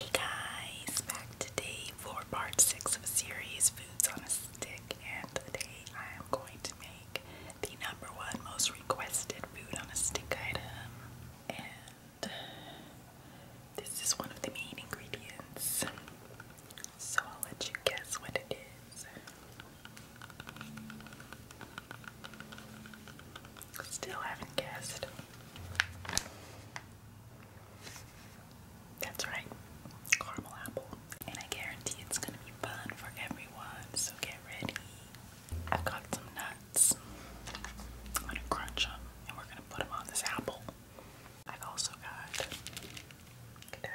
Hey guys, back today for part 6 of series Foods on a Stick, and today I am going to make the number one most requested food on a stick item. And this is one of the main ingredients. So I'll let you guess what it is. Still haven't guessed. That's right, caramel apple. And I guarantee it's gonna be fun for everyone, so get ready. I've got some nuts. I'm gonna crunch them and we're gonna put them on this apple. I've also got Godiva,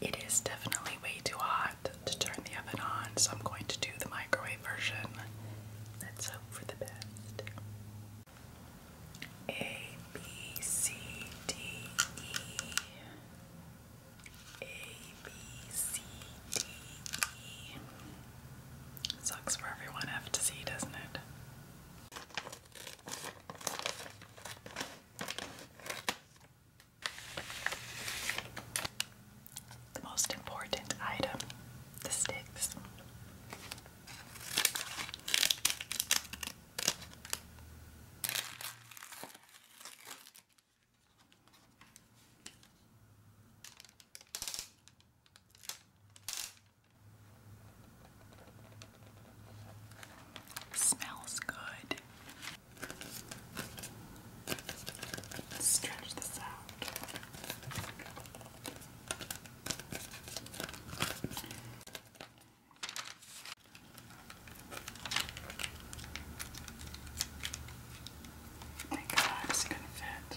It is definitely way too hot to turn the oven on, so I'm going to do the microwave version. let for the best. A, B, C, D, E. A, B, C, D, E. Sucks for everyone F to C, doesn't it? The most important item the sticks. Smells good. Stretch this out. My God, it's gonna fit.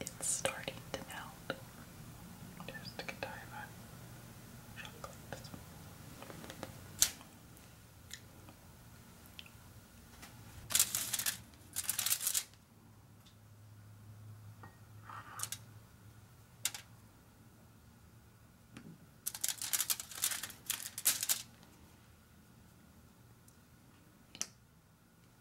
It's starting to melt. Just to get time on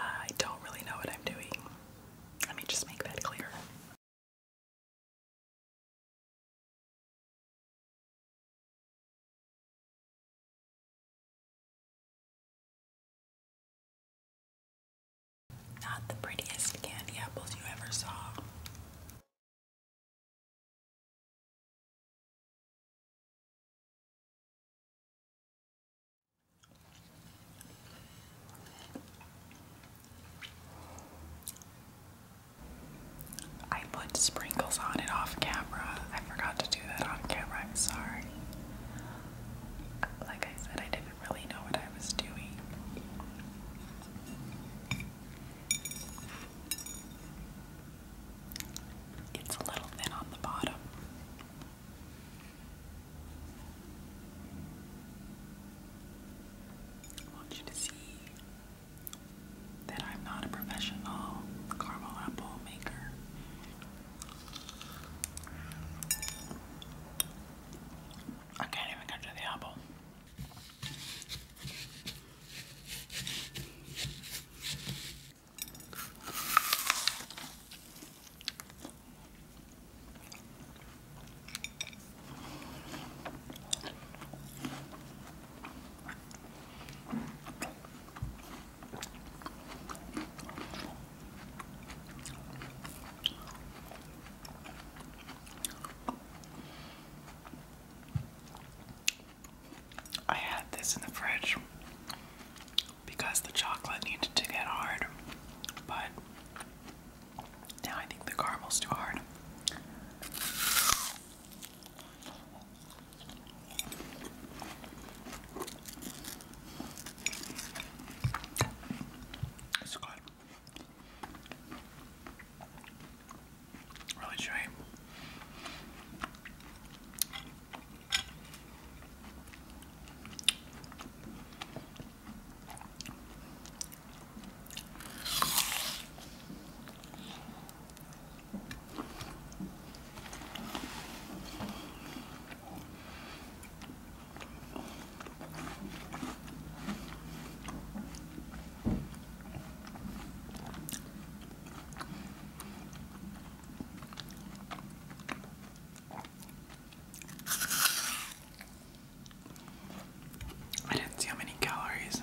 I don't really know what I'm doing. Let me just make that clear. Not the prettiest candy apples you ever saw. I put sprinkles on it off camera. I forgot to do on camera, I'm sorry. Like I said, I didn't really know what I was doing. It's a little thin on the bottom. want you to see that I'm not a professional caramel apple maker. I can't even get to the apple. I had this in the fridge because the chocolate needed to get hard, but now I think the caramel's too hard. It's good. Really shame. I didn't see how many calories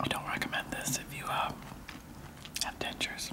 I don't recommend this if you uh, have dentures.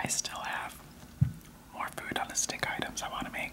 I still have more food on the stick items I want to make.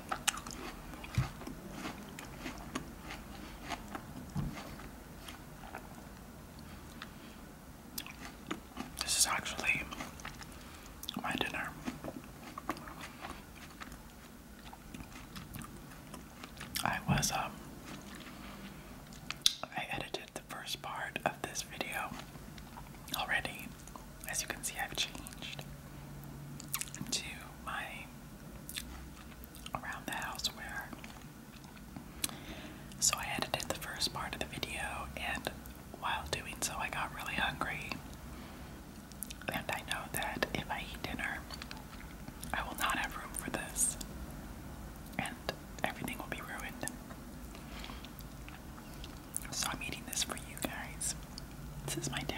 This is actually my dinner. I was, um, I edited the first part of this video already, as you can see, I've changed to my around the house So I edited the first part of the video, and while doing so, I got really hungry. And I know that if I eat dinner, I will not have room for this, and everything will be ruined. So I'm eating this for you guys. This is my dinner.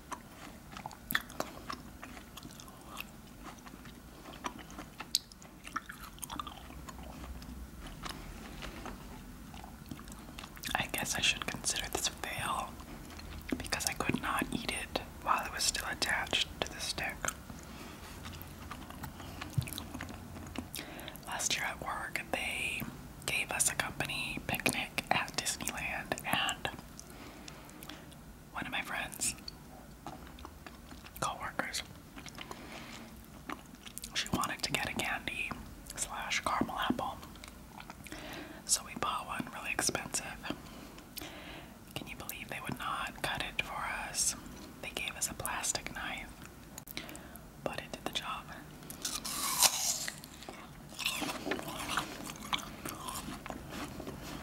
I guess I should consider this a fail because I could not eat it while it was still attached to the stick. Last year at work, they gave us a company picnic at Disneyland, and one of my friends, coworkers, she wanted to get a candy slash caramel apple. So we bought one really expensive. Can you believe they would not cut it for us? They gave us a plastic knife, but it did the job.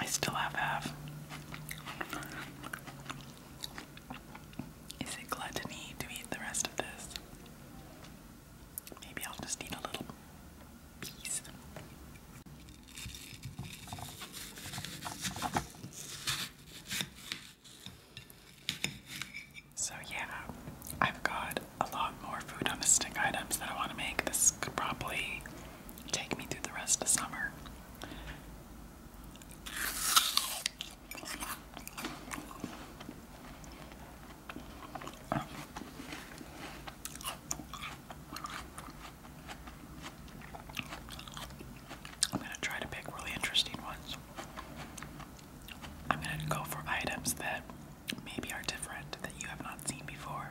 I still have half. Is it gluttony to eat the rest of this? Maybe I'll just eat a little piece. So, yeah, I've got a lot more food on the stick items that I want to make. This could probably take me through the rest of summer. I'm going to try to pick really interesting ones. I'm going to go for items that maybe are different that you have not seen before.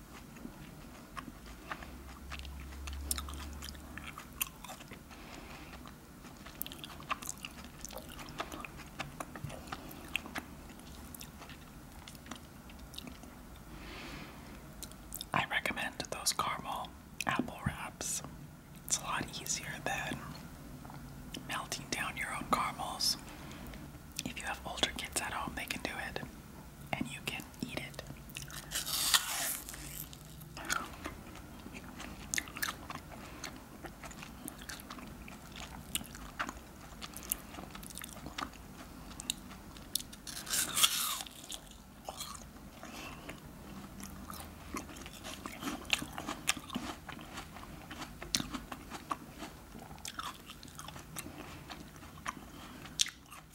I recommend those caramel apple wraps. It's a lot easier than melting down your own caramels. If you have older kids at home, they can do it and you can eat it.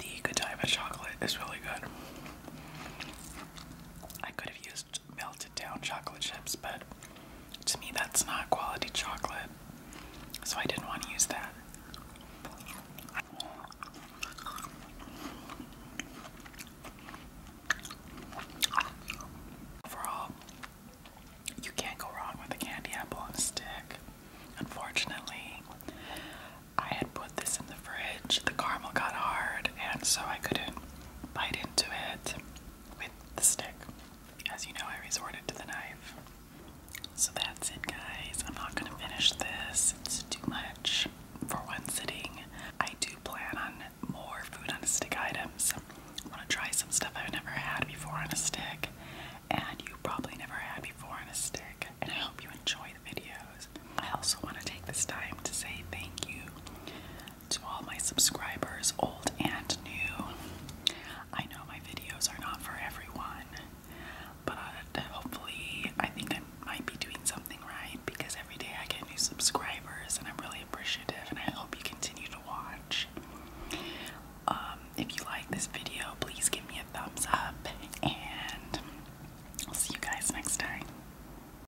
The Godiva chocolate is really good. I could have used melted down chocolate chips, but to me that's not quality chocolate. So I didn't want to use that. Overall, you can't go wrong with a candy apple on a stick. Unfortunately, I had put this in the fridge, the caramel got hard, and so I couldn't bite to it with the stick. As you know, I resorted to the knife. So that's it, guys. I'm not going to finish this, it's too much for one sitting. I do plan on more food on a stick items. I want to try some stuff I've never had before on a stick, and you probably never had before on a stick. And I hope you enjoy the videos. I also want to take this time to say thank you to all my subscribers, old and new, I know my videos are not for everyone, but hopefully, I think I might be doing something right because every day I get new subscribers and I'm really appreciative, and I hope you continue to watch. Um, if you like this video, please give me a thumbs up, and I'll see you guys next time.